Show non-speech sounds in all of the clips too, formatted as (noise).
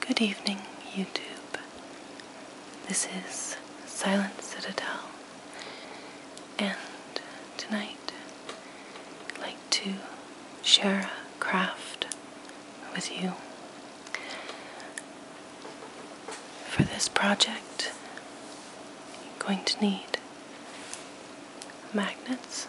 Good evening, YouTube. This is Silent Citadel, and tonight I'd like to share a craft with you. For this project, you're going to need magnets,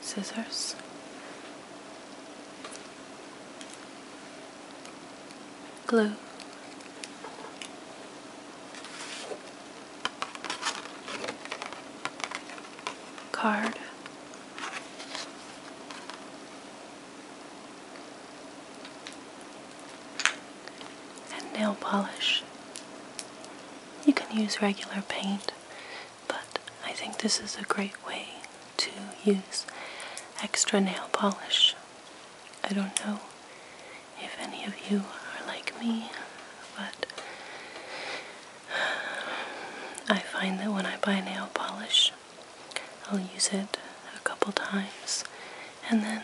scissors. Glue. Card and nail polish. You can use regular paint, but I think this is a great way to use extra nail polish. I don't know if any of you are like me, but (sighs) I find that when I buy nail polish, I'll use it a couple times and then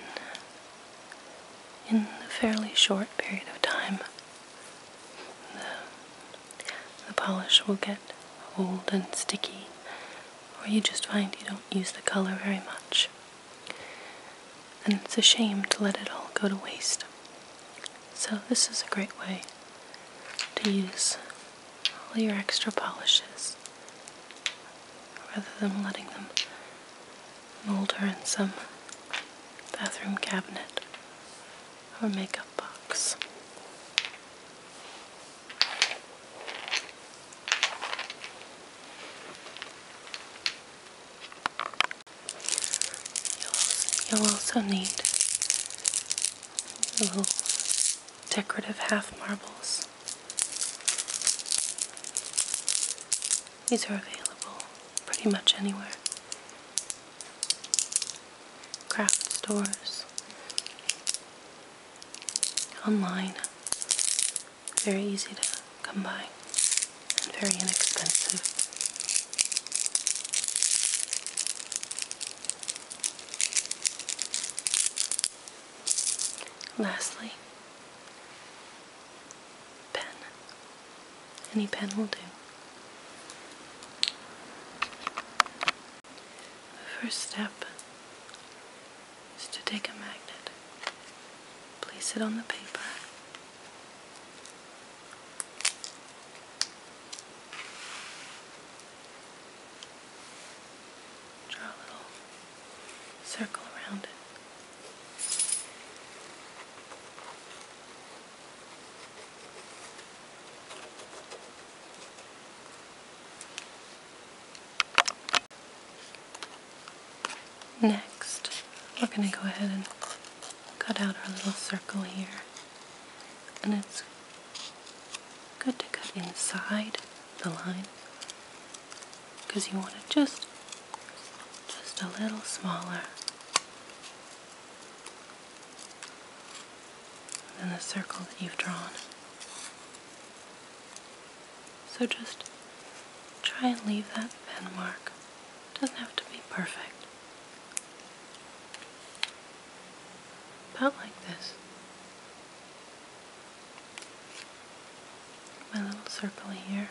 in a fairly short period of time the, the polish will get old and sticky or you just find you don't use the color very much. And it's a shame to let it all go to waste. So, this is a great way to use all your extra polishes rather than letting them molder in some bathroom cabinet or makeup box. You'll also need little decorative half marbles. These are available pretty much anywhere. Craft stores, online. Very easy to come by and very inexpensive. Lastly, pen. Any pen will do. The first step is to take a magnet, place it on the paper. Draw a little circle around it. Next, we're going to go ahead and cut out our little circle here. And it's Good to cut inside the line because you want it just just a little smaller than the circle that you've drawn. So just try and leave that pen mark. doesn't have to be perfect. About like this. My little circle here.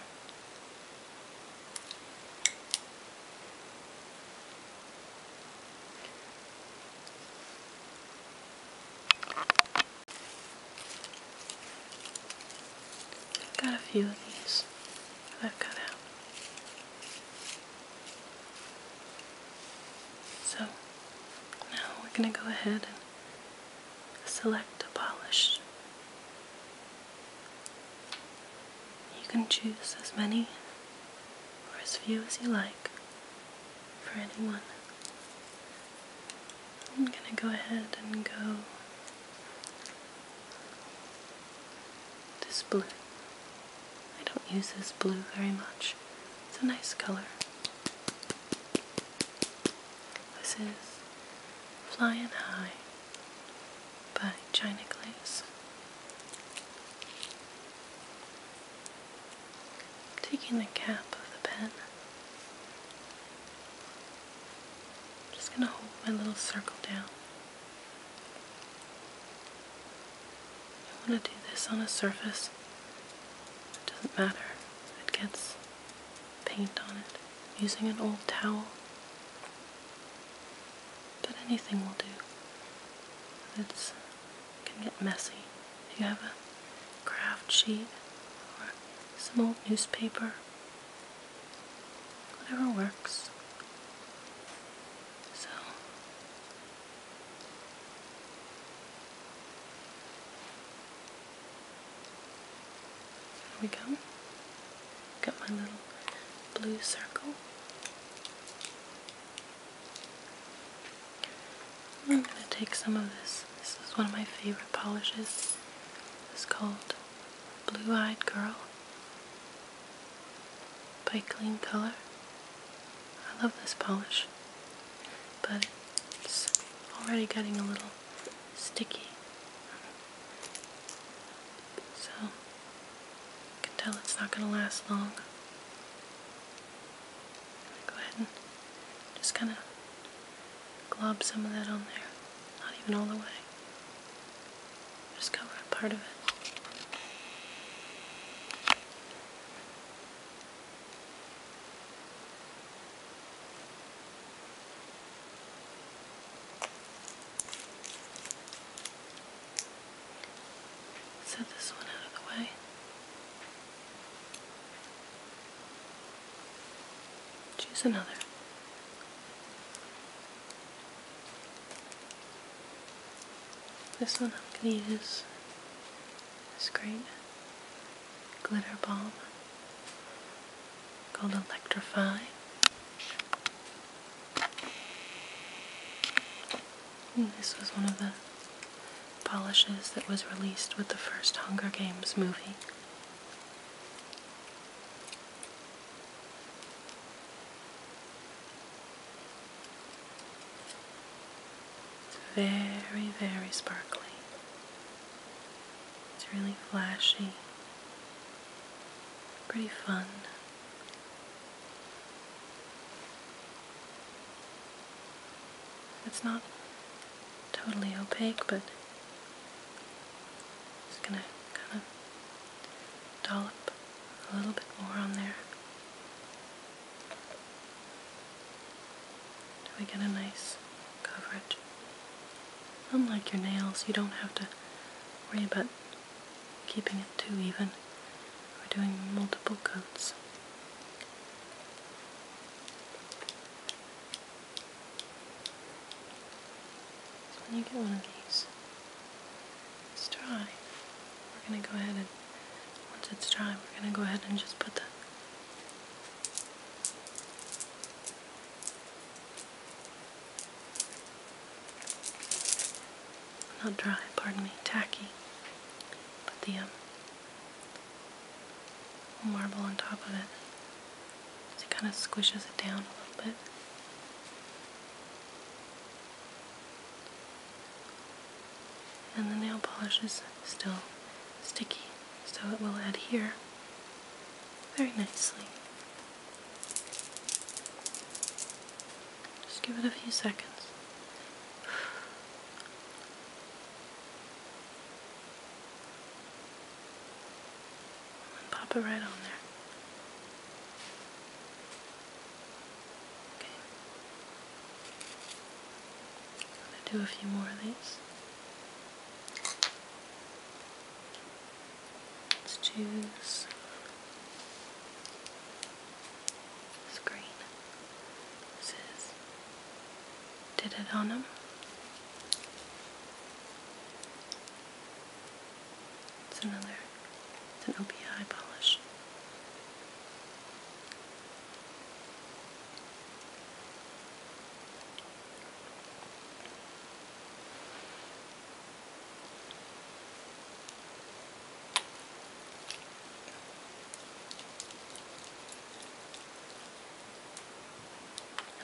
I've got a few of these I've cut out. So now we're going to go ahead and select a polish. You can choose as many or as few as you like for anyone. I'm going to go ahead and go this blue. I don't use this blue very much. It's a nice color. This is Flying High by China Glaze. Taking the cap of the pen, just going to hold my little circle down I want to do this on a surface. It doesn't matter it gets paint on it. using an old towel. But anything will do. It's it can get messy. If you have a craft sheet or some old newspaper, whatever works. So there we go. Got my little blue circle. I'm going to take some of this. This is one of my favorite polishes. It's called Blue Eyed Girl by Clean Color. I love this polish, but it's already getting a little sticky. So, you can tell it's not going to last long. Go ahead and just kind of glob some of that on there. Not even all the way. Just cover a part of it. Set this one out of the way. Choose another. This one I'm going to use this great glitter balm called Electrify. this was one of the polishes that was released with the first Hunger Games movie. Very, very sparkly. It's really flashy. Pretty fun. It's not totally opaque, but it's gonna kind of dollop a little bit more on there. So we get a nice coverage. Unlike your nails, you don't have to worry about keeping it too even or doing multiple coats. So when you get one of these, it's dry, we're going to go ahead and, once it's dry, we're going to go ahead and just put the not dry, pardon me, tacky. Put the um, marble on top of it. it kind of squishes it down a little bit. And the nail polish is still sticky, so it will adhere very nicely. Just give it a few seconds and pop it right on there. Okay. going to do a few more of these. Let's choose this green. This is Did It On Them. It's another, it's an OPI polish.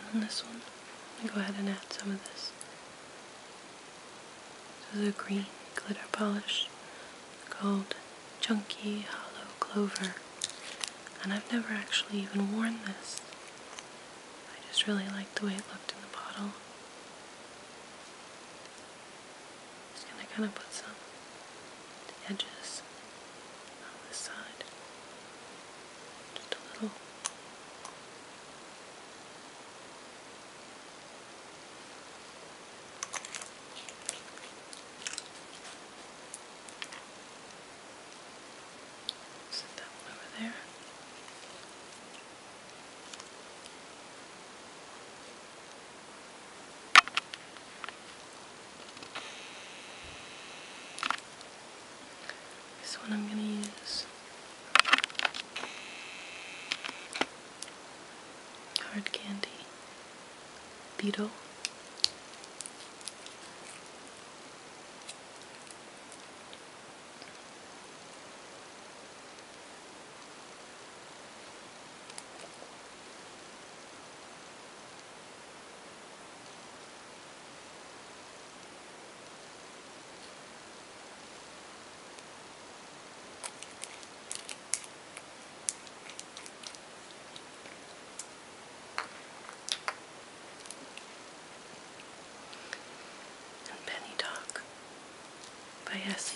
And on this one, I'm go ahead and add some of this so a green glitter polish called Chunky Hollow Clover. And I've never actually even worn this. I just really liked the way it looked in the bottle. Just gonna kind of put some to the edges on this side. Just a little. Set that one over there. This one I'm going to use Hard candy, beetle, and Penny Dog by Essie.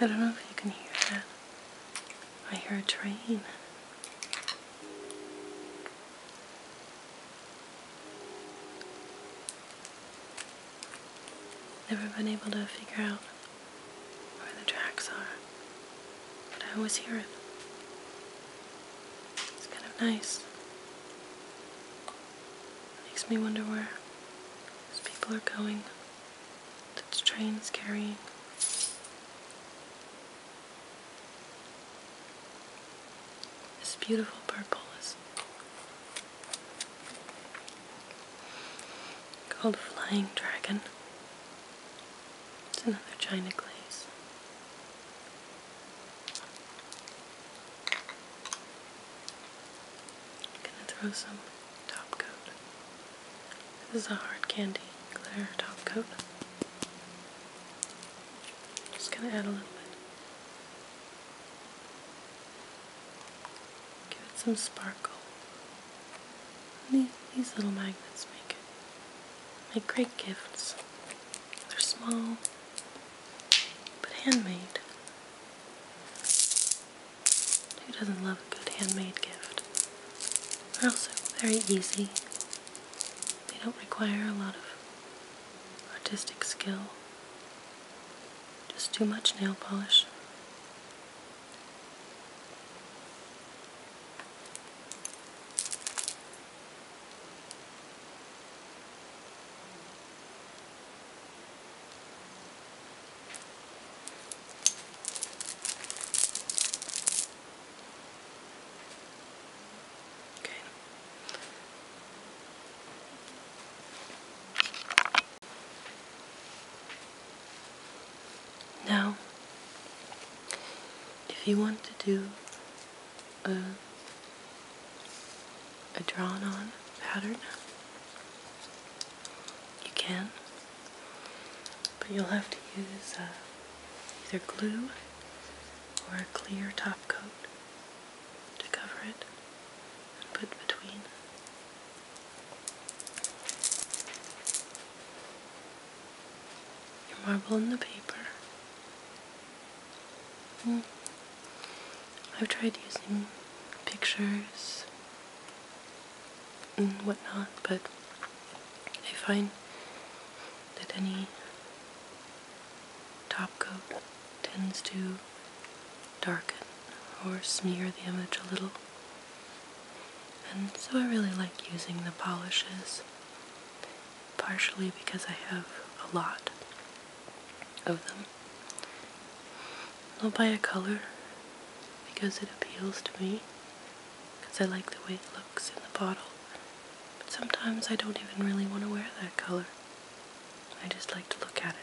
I don't know if you can hear that. I hear a train. Never been able to figure out where the tracks are, but I always hear it. It's kind of nice. It makes me wonder where these people are going, that train's carrying. This beautiful purple is called Flying Dragon. It's another china glaze. gonna throw some top coat. This is a hard candy clear top coat. Just gonna add a little bit. Give it some sparkle. These little magnets make it. Make great gifts. They're small, but handmade. Who doesn't love a good handmade gift? They're also very easy. They don't require a lot of artistic skill. Just too much nail polish. Okay. Now, if you want to do a, a drawn on pattern, you can, but you'll have to use uh, either glue or a clear top coat to cover it put between. Your marble and the paper. Hmm. I've tried using pictures and whatnot, but I find that any top coat tends to darken or smear the image a little. And so I really like using the polishes, partially because I have a lot of them. I'll buy a color because it appeals to me, because I like the way it looks in the bottle. But sometimes I don't even really want to wear that color. I just like to look at it.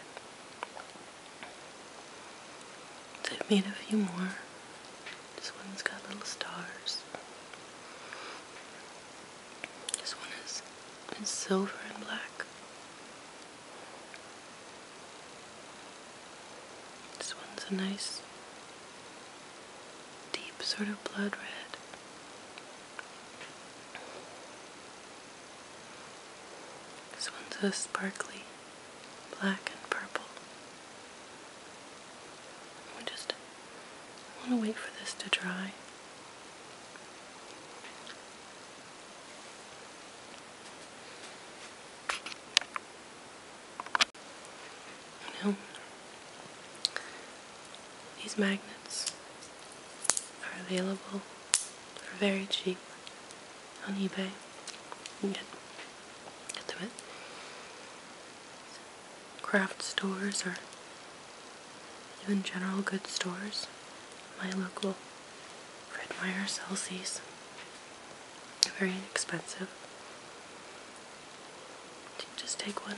I've made a few more. This one's got little stars. This one is silver and black. This one's a nice deep sort of blood red. This one's a sparkly black and purple. I just want to wait for this to dry. You these magnets are available for very cheap on eBay. You get, get them craft stores or even general goods stores. My local Fred Meyer sells these. very inexpensive. just take one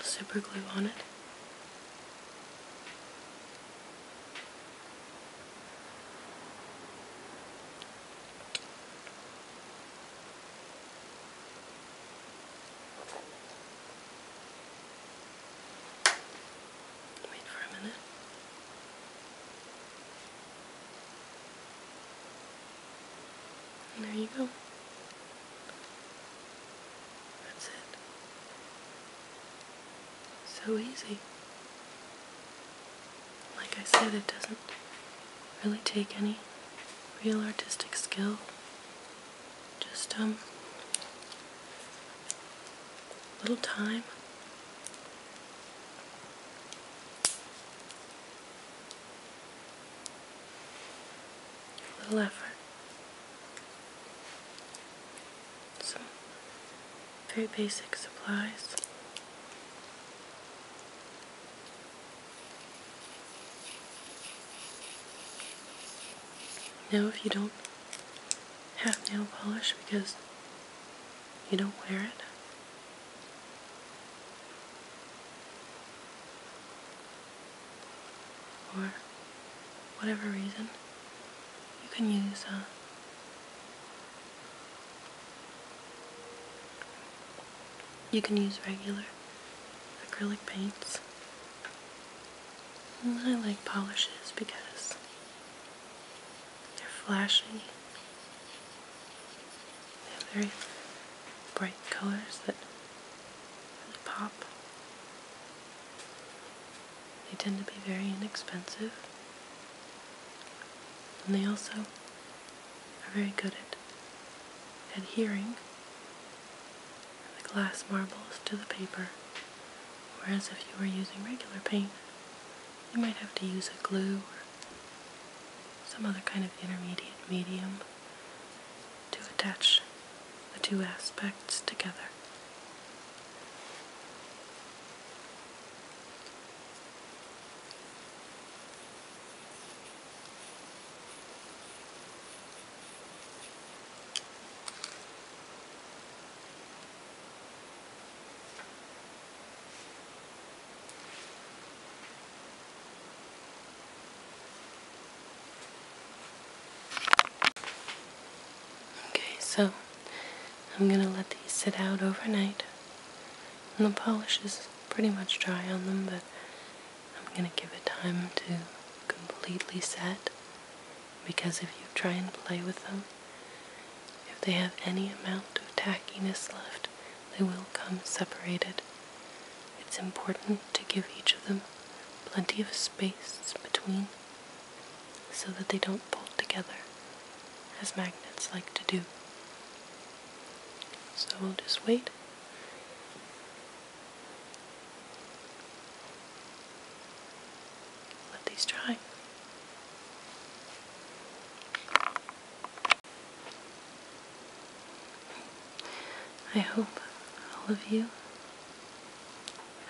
A super glue on it. Wait for a minute there you go. That's it. So easy. Like I said, it doesn't really take any real artistic skill. Just, um, little time. A little effort. Some very basic supplies. Now, if you don't have nail polish because you don't wear it, for whatever reason, you can use uh, you can use regular acrylic paints. I like polishes because they're flashy they have very bright colors that really pop. They tend to be very inexpensive. And they also are very good at adhering the glass marbles to the paper. Whereas if you were using regular paint, you might have to use a glue some other kind of intermediate medium to attach the two aspects together. Okay, so I'm going to let these sit out overnight. the polish is pretty much dry on them, but I'm going to give it time to completely set because if you try and play with them, if they have any amount of tackiness left, they will come separated. It's important to give each of them plenty of space between so that they don't bolt together as magnets like to do. So we'll just wait. Let these dry. I hope all of you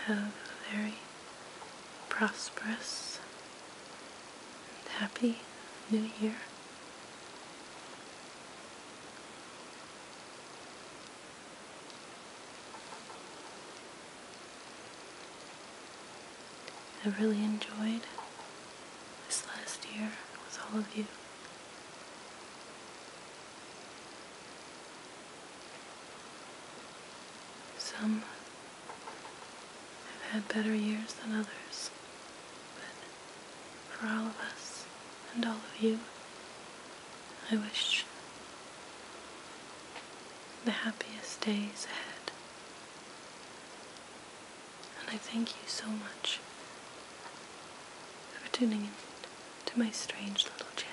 have a very prosperous and happy new year. I really enjoyed this last year with all of you. Some have had better years than others, but for all of us and all of you, I wish the happiest days ahead and I thank you so much for tuning in to my strange little channel.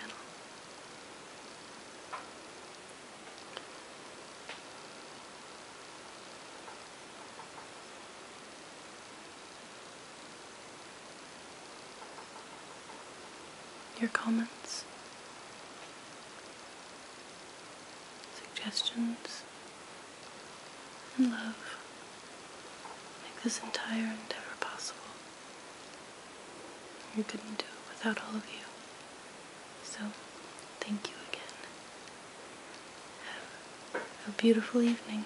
Your comments, suggestions, and love make this entire endeavor possible. You couldn't do it without all of you. So, thank you again. Have a beautiful evening.